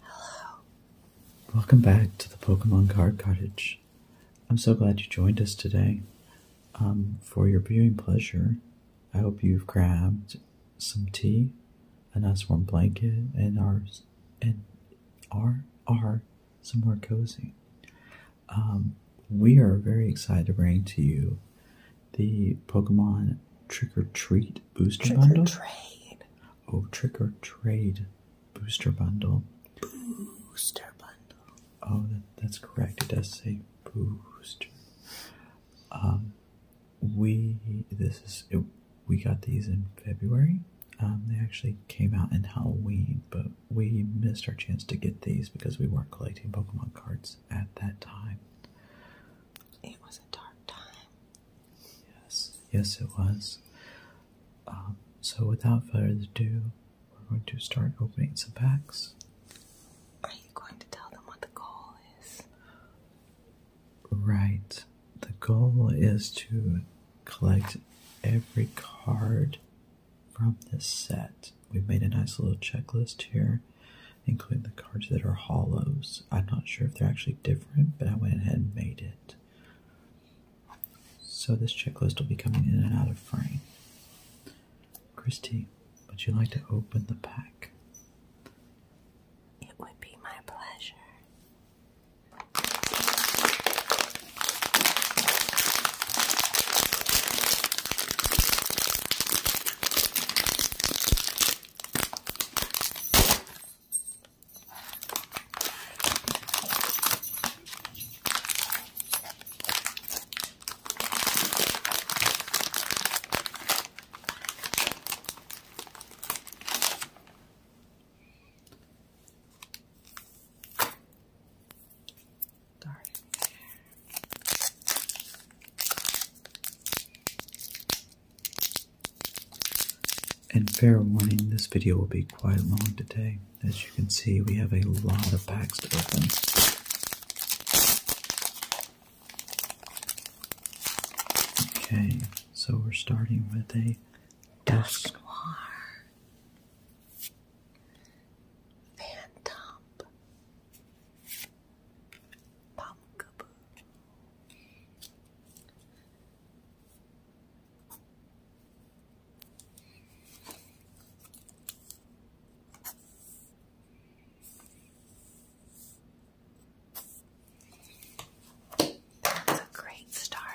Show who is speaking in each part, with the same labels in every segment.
Speaker 1: Hello. Welcome back to the Pokemon Card Cottage. I'm so glad you joined us today. Um, for your viewing pleasure, I hope you've grabbed some tea, a nice warm blanket, and are and are are somewhere cozy. Um, we are very excited to bring to you the Pokemon Trick or Treat Booster Bundle? Oh, Trick or Trade Booster Bundle. Booster Bundle. Oh, that's correct. It does say Booster. Um, we, this is, we got these in February. Um, they actually came out in Halloween, but we missed our chance to get these because we weren't collecting Pokemon cards at that time. It was a dark time. Yes, yes, it was. Um, so, without further ado, we're going to start opening some packs. Are you going to tell them what the goal is? Right. The goal is to collect every card from this set. We've made a nice little checklist here. Including the cards that are hollows. I'm not sure if they're actually different, but I went ahead and made it. So this checklist will be coming in and out of frame. Christie. would you like to open the pack? It would be my pleasure. Darn it. And fair warning, this video will be quite long today. As you can see, we have a lot of packs to open. Okay, so we're starting with a Dusk Noir, Phantom, that's a great start.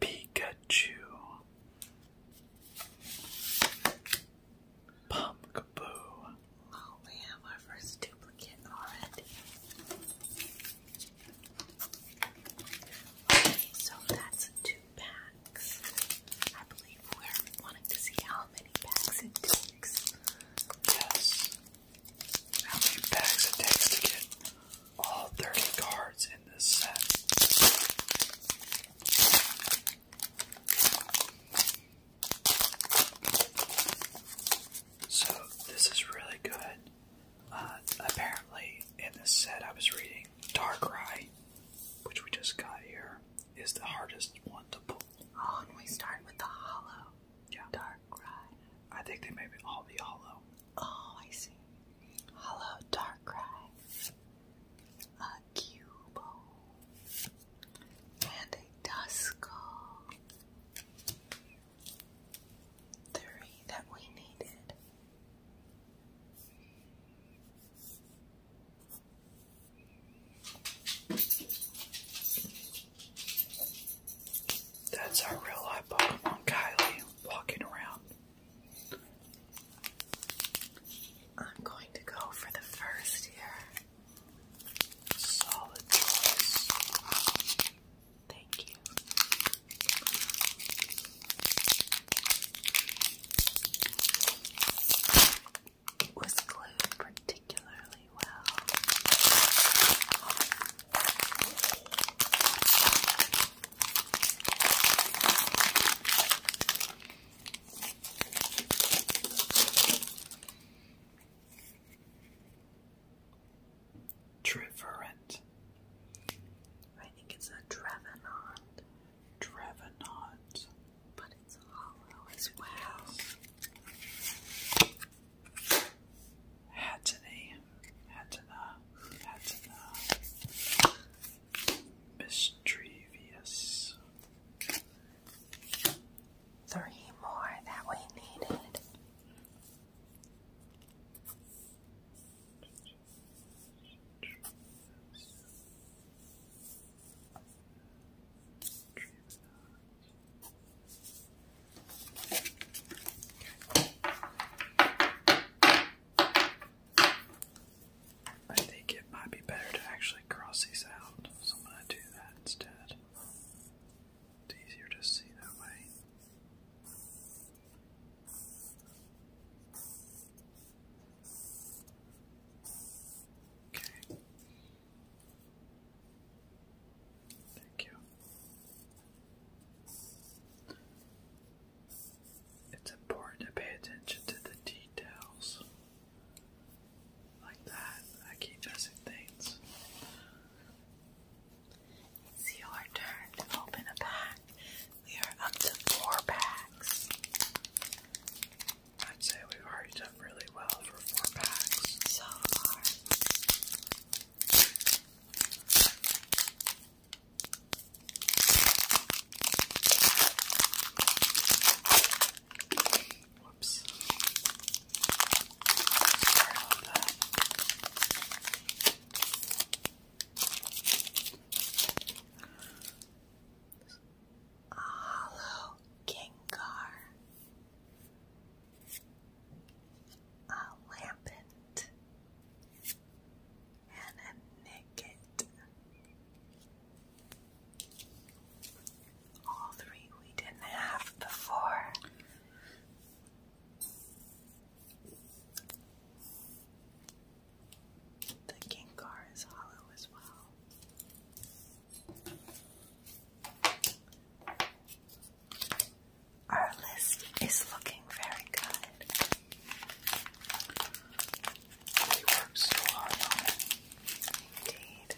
Speaker 2: Pikachu. Pumpkaboo. Oh, we have our first duplicate already. Okay, so that's two packs. I believe we're wanting to see how many packs it takes. How many packs it takes to get all 30 cards in this set? So, this is really good. Uh, apparently, in this set, I was reading Darkrai, which we just got here, is the hardest one to pull. Oh, and we start with the hollow. Yeah. Darkrai. I think they may be all be hollow. Oh, I see. Hello, Darkrai. A Cubo. And a Duskull. Three that we needed. That's our real life Pokemon Kylie walking around. I'm going to go for the first here. Solid choice. Thank you. It was glued particularly well. Triverent. I think it's a Trevenant. Trevenant. But it's hollow as well. Hatene, Hatena, Hatena, Mistrevious. Three more that we needed. I think it might be better to actually cross these out, so I'm going to do that instead. It's easier to see that way. Okay. Thank you. It's important to pay attention to the details. Like that, I keep missing things. It's your turn to open a pack. We are up to four packs. I'd say we've already done really well for four packs. So far. Whoops. Sorry about a lambent, and a naked. All three we didn't have before. The Gengar is hollow as well. Our list is looking very good. We worked so Indeed.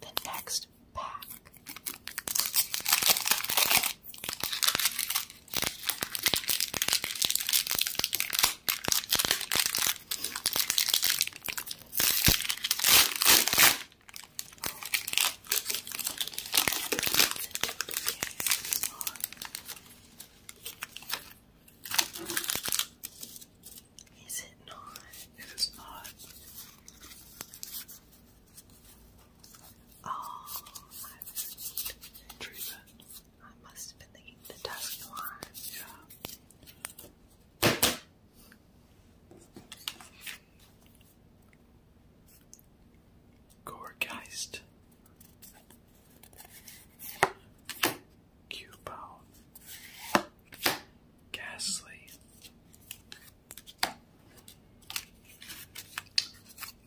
Speaker 2: The next pack. Is it not? It is not. Oh, I must have been thinking the task Gorgeist. Cubone. Ghastly.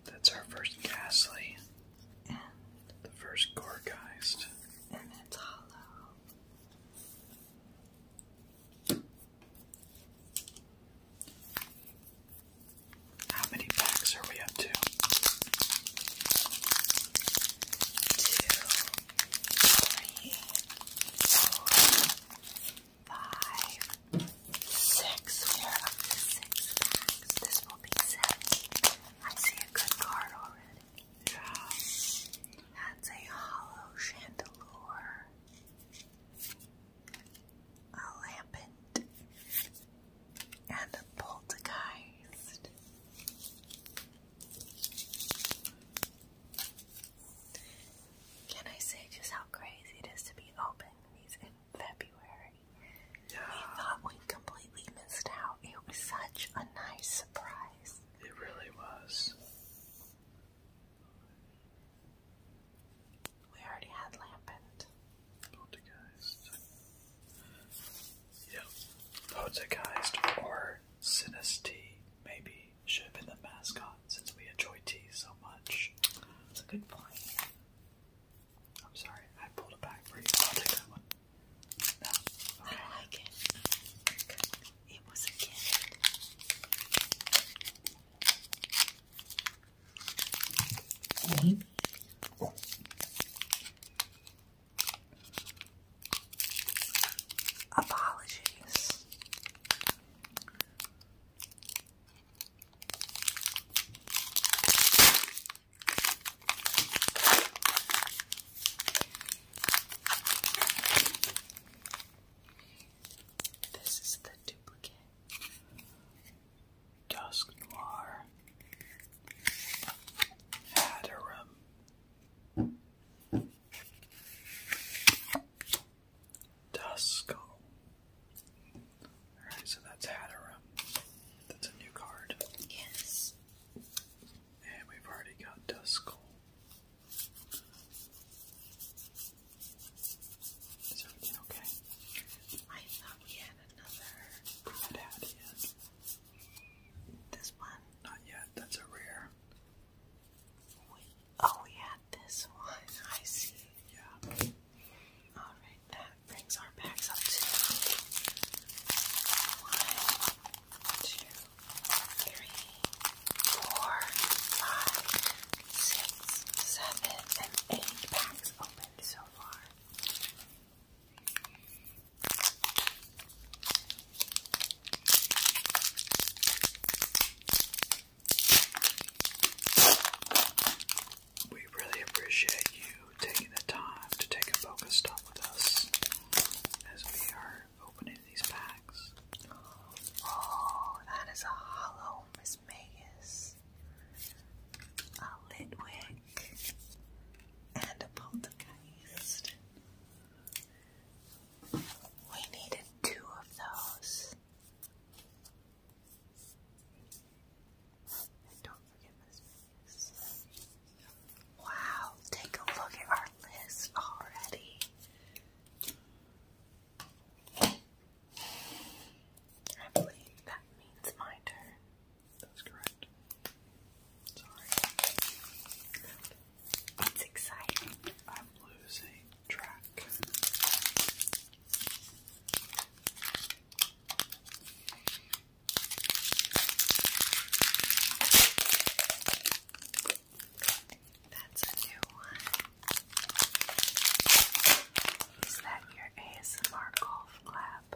Speaker 2: That's our first Ghastly. The first Gorgeist. And that's hollow. How many packs are we up to? Two, three, four, five, six. We are up six This will be seven. I see a good card already. That's a hollow chandelier a lampant, and a poltergeist. Can I say just how crazy it is to be opening these in February? Yeah. We thought we completely missed out. It was such a nice surprise. It really was. We already had Lampent. Poltergeist. Yeah. Poltergeist or Sinistee maybe should have been the mascot since we enjoy tea so much.
Speaker 1: That's a good point. I'm sorry, I pulled it back for you. I'll take that one. No. I like it. It was a gift. Mm
Speaker 2: Apologies. This is the duplicate. Dusk Noir. Hatterum. Dusko. Alright, so that's Hatterum. That's a new card. Yes. And we've already got Duskull. Is everything okay? I thought we had another. It had, This one? Not yet. That's a rare. oh, we had this one. I see. Yeah. Alright, that brings our packs up to one, two, three, four, five, six, seven, and eight packs opened so far. We really appreciate you taking the time to take a focus stop with us as we are opening these packs. Oh, that is a hollow Miss Magus, a Litwick, and a Poltergeist. We needed two of those. don't forget Miss Magus. Wow, take a look at our list already. I believe that means my turn. That's correct. Sorry. It's exciting. I'm losing track. That's a new one. Is that your ASMR golf clap?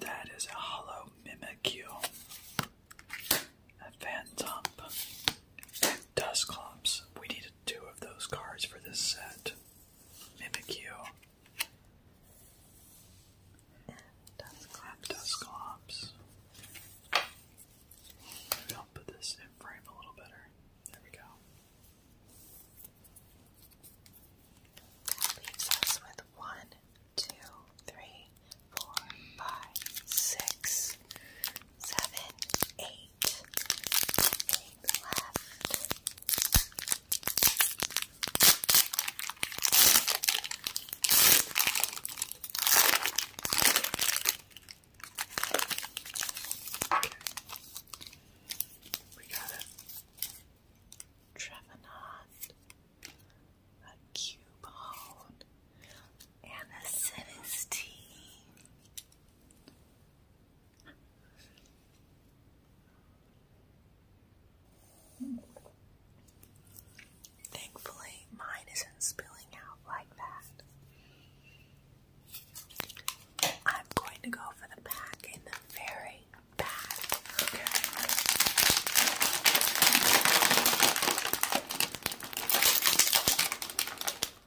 Speaker 2: That is a hollow mimicue, a phantom, dust clumps. We need two of those cards for this set. Mimikyu, Dusclops. Maybe I'll put this in frame a little better. There we go. That with one, two, three, four, five, six, seven, eight, eight left. We got it. Trevenant, a Cubone, and a Sinistee. Thankfully, mine isn't spilling out like that. I'm going to go for the back in the very back.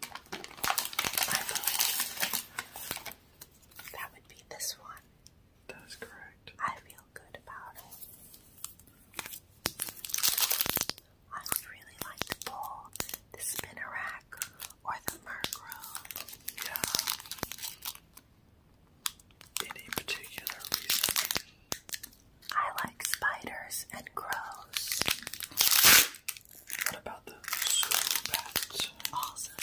Speaker 2: I that would be this one. That is correct. I feel good about it. I would really like to pull the spinnerack or the murkrow. Yeah. Any particular reason? I like spiders and crows. What about the super bats? Awesome.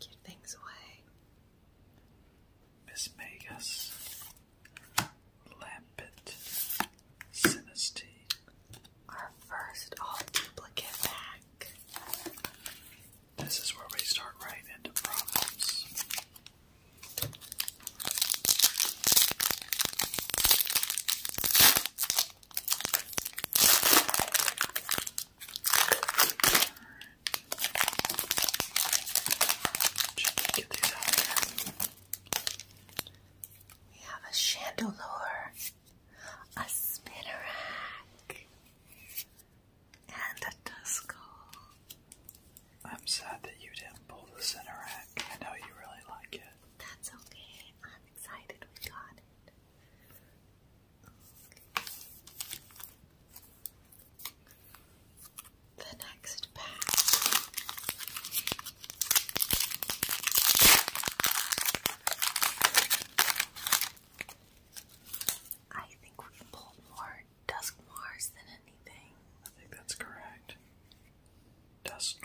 Speaker 2: Give things away. Miss Magus, Lampet, our first all duplicate pack. This is where we start right into problems. we have a chandelure a spinnerack, and a duskull. I'm sad that you didn't pull the Cinerack. I know you really like it. That's okay. I'm excited we got it. The next pack I think we pulled more Dusk than anything. I think that's correct. Dusk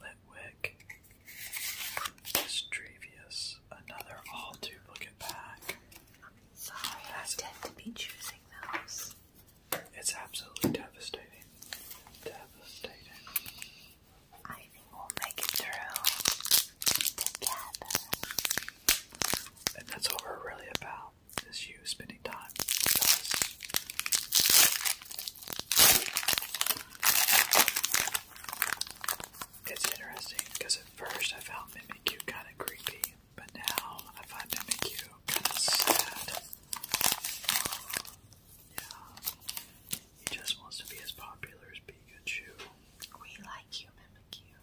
Speaker 2: Litwick, Strevious, another all duplicate pack. I'm sorry, I tend to be choosing those. It's absolutely devastating. Devastating. I think we'll make it through together. And that's what we're really about, is you spending time It's interesting, because at first I found cute, kind of creepy, but now I find Mimikyu kind of sad. Yeah. He just wants to be as popular as Pikachu. We like you, Mimikyu.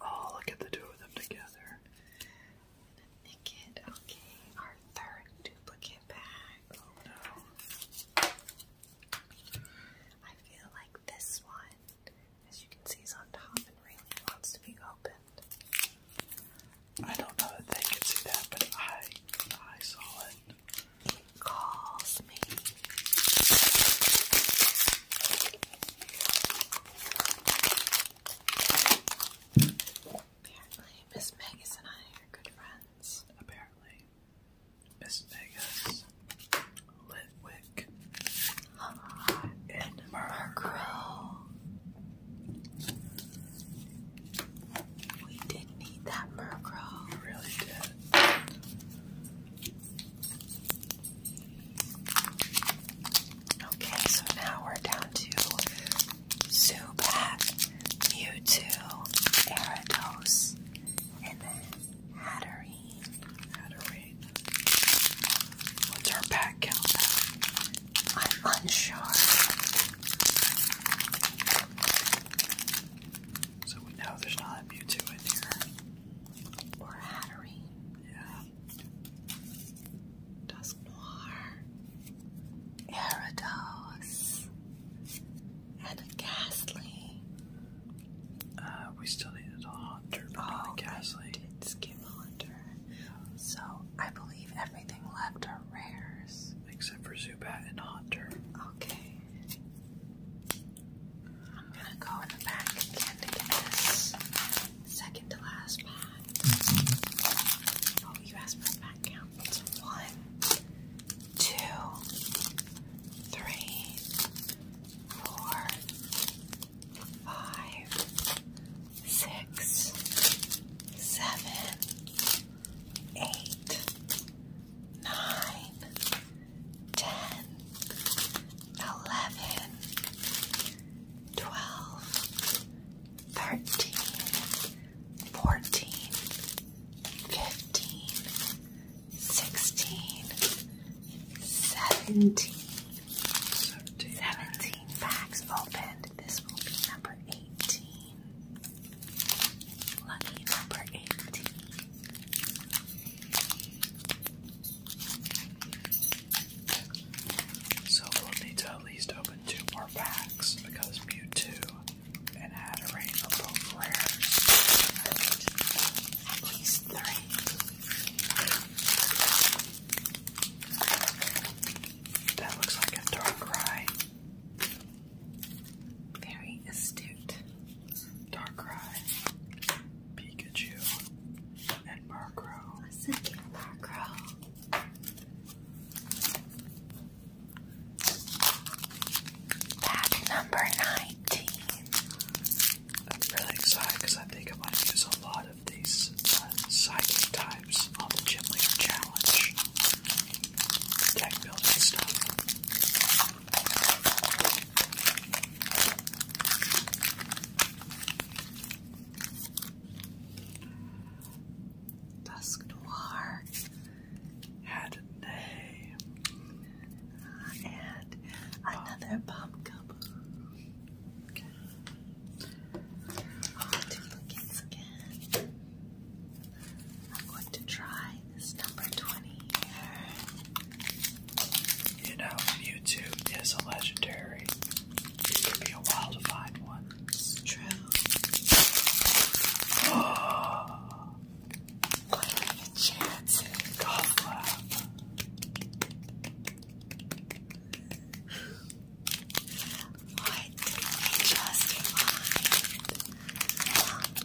Speaker 2: oh, look at the two of them together. okay. Our third duplicate bag. Oh no. I feel like this one, as you can see, is on top and really wants to be opened. I don't know that they can see that, but I I saw it. Calls me. Apparently, Miss Megas and I are good friends. Apparently, Miss Megas, Litwick, and Murkrow. We did need that Murkrow. really did. Okay, so now we're down to Zubat, Mewtwo, Erados, and then Hatterene. What's our pack count? I'm unsure. So we know there's not a Mewtwo in here. Or Hattery. Yeah. Dusk Noir. And a Ghastly. Uh, we still needed a Haunter, but oh, not so I believe everything left are rares. Except for Zubat and Hunter. Okay. I'm gonna go in the back again to get this second to last pack. Oh, you asked for a pack count. one, two, three, four, five, six, seven, eight, nine, ten, eleven, twelve, thirteen, fourteen, fifteen, sixteen, seventeen. 17 packs opened. This will be number 18. Lucky number 18. So we'll need to at least open two more packs because two and Hatterene a both rares. At least three. That looks like a dark rye. Very astute. Dark Pikachu, and Murkrow. Listen to Pack number 19. I'm really excited because I think I might use a lot of these uh, psychic type lives on the Gym Leader Challenge. Dusk Noir had a name. And another um, pumpkin. Oh, duplicates again. I'm going to try this number 20 here. You know, Mewtwo is a legendary. It could be a while to find one. true. Oh. What are your chances? Golf what just mind?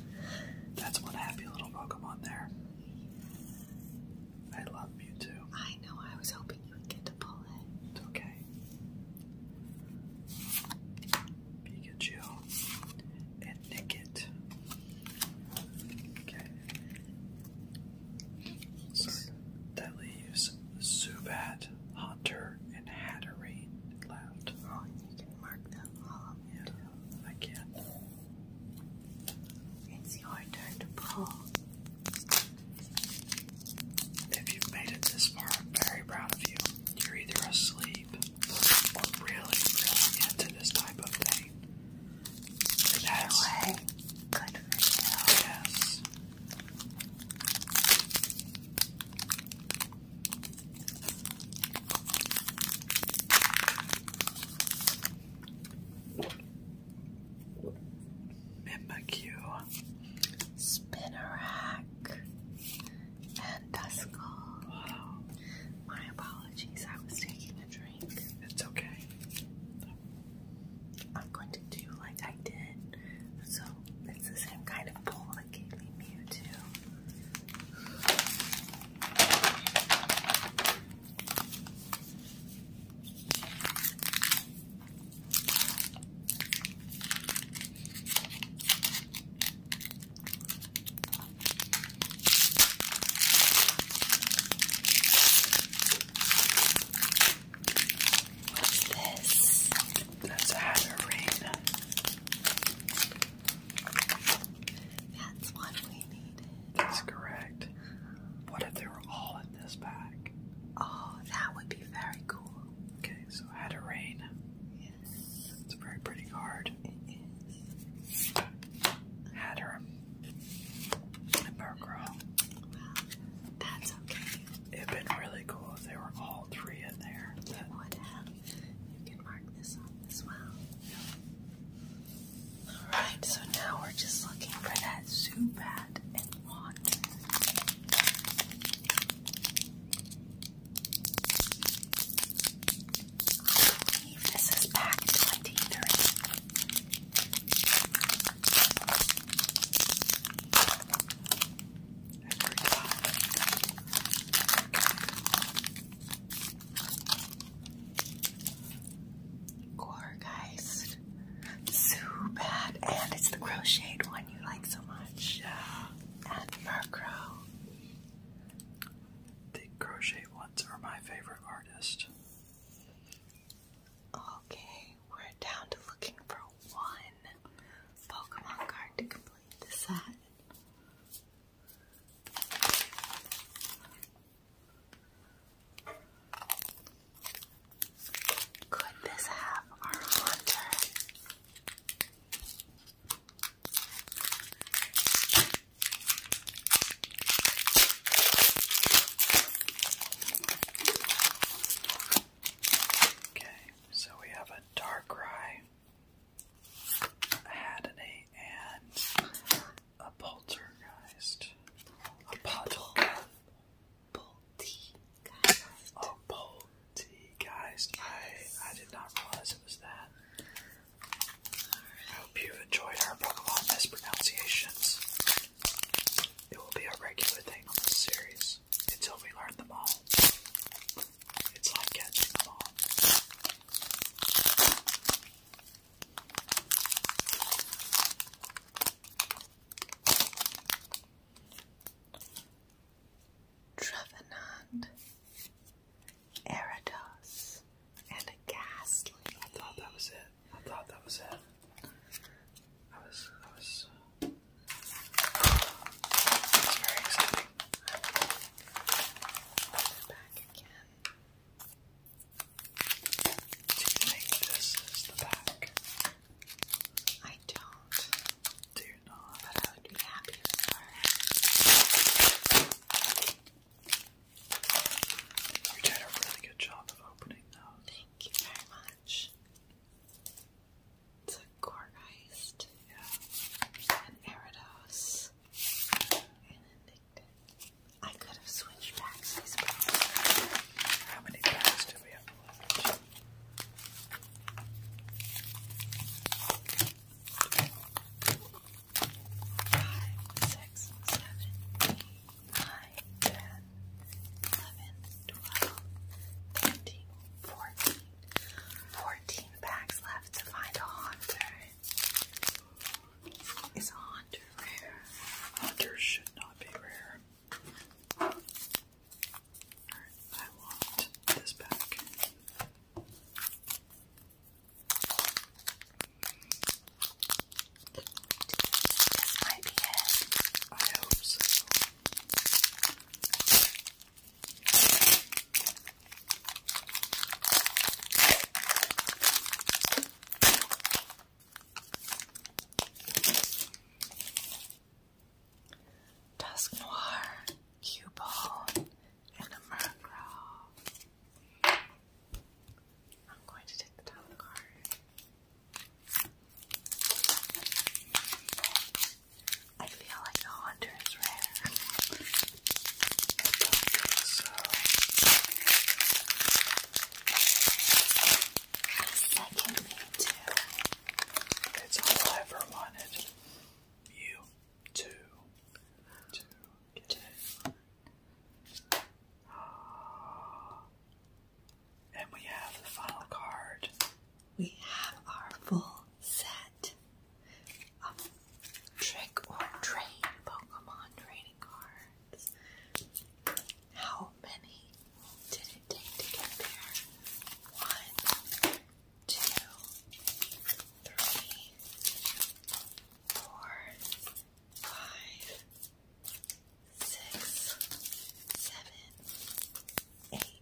Speaker 2: That's one happy little Pokemon there. I love you too. I know, I was hoping you would get to pull it. It's okay. Pikachu and Nickit. Okay. that leaves Zubat, Hunter, River and Hatterade left. Oh, you can mark them all. Yeah, I can. It's your turn to pull. If you've made it this far, I'm very proud of you. You're either asleep or really, really into this type of thing. Either way, good for Yes. Mimikyu, Spinnerack, and Duskull. My apologies, I was taking a drink. It's okay. I'm going to do like I did. So it's the same kind of bowl that gave me Mewtwo. What's this? That's a hatter That's what we needed. That's correct. What if they were all in this bag? Oh, that would be very cool. Okay, so hatter Yes. It's a very pretty card. It is. Hatter. And Burgirl. Well, that's okay. It'd been really cool if they were all three in there. It would have. You can mark this off as well. Alright, so now we're just looking for that soup and water. this is pack 23 every time. So bad. And it's the crocheted one you like so much. And Murkrow. The crochet ones are my favorite artist. Okay, we're down to looking for one. Pokemon card to complete the set. Could this have our haunter? Okay, so we have a Darkrai, a Haddany, and a Poltergeist. A Poltergeist. Poltergeist. Oh, a Poltergeist. I, I did not realize it was that. I hope you enjoyed our Pokemon mispronunciations. It will be a regular thing on this series until we learn them all. It's like catching them all. Trevenant, Eridos, and a ghastly. I thought that was it. I thought that was it. I was, I was, it's very exciting. I back again. Do you think this is the back? I don't. Do you not? But I would be happy if it were. You did a really good job of opening those. Thank you very much. It's a Gorgeist, an Eridos, and a Nicton. I could have switched packs. How many packs do we have left? Five, six, seven, eight, nine, ten, eleven, twelve, thirteen, 14. packs left to find a Haunter. Is a Haunter rare? Hunters should not be rare. Alright, I want this back. This might be it. I Dusk Noir, Cubone, and a Murkrow. I'm going to take the top card. I feel like the hunter is rare. so. Second me too. It's all I ever wanted. You two. Two. Two. Oh, and we have the final card. We have our full set of trick or train Pokemon trading cards. How many did it take to get there? One, two, three, four, five, six, seven, eight.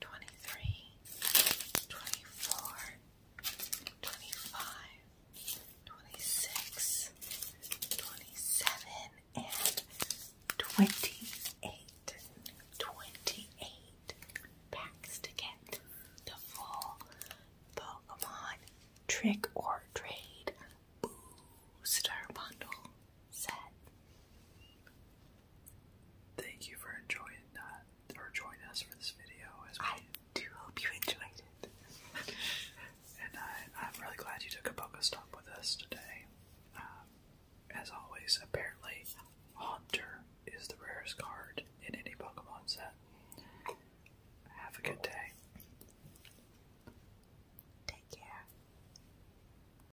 Speaker 2: twenty-three, twenty-four, twenty-five, twenty-six, twenty-seven, and twenty-eight. packs to get the full Pokemon Trick or Trade Booster Bundle. Sad. Thank you for enjoying that or joining us for this video. As I do hope you enjoyed it. and I, I'm really glad you took a stop with us today. Um, as always, apparently, Hunter is the rarest card in any Pokemon set. Have a good day. Take care.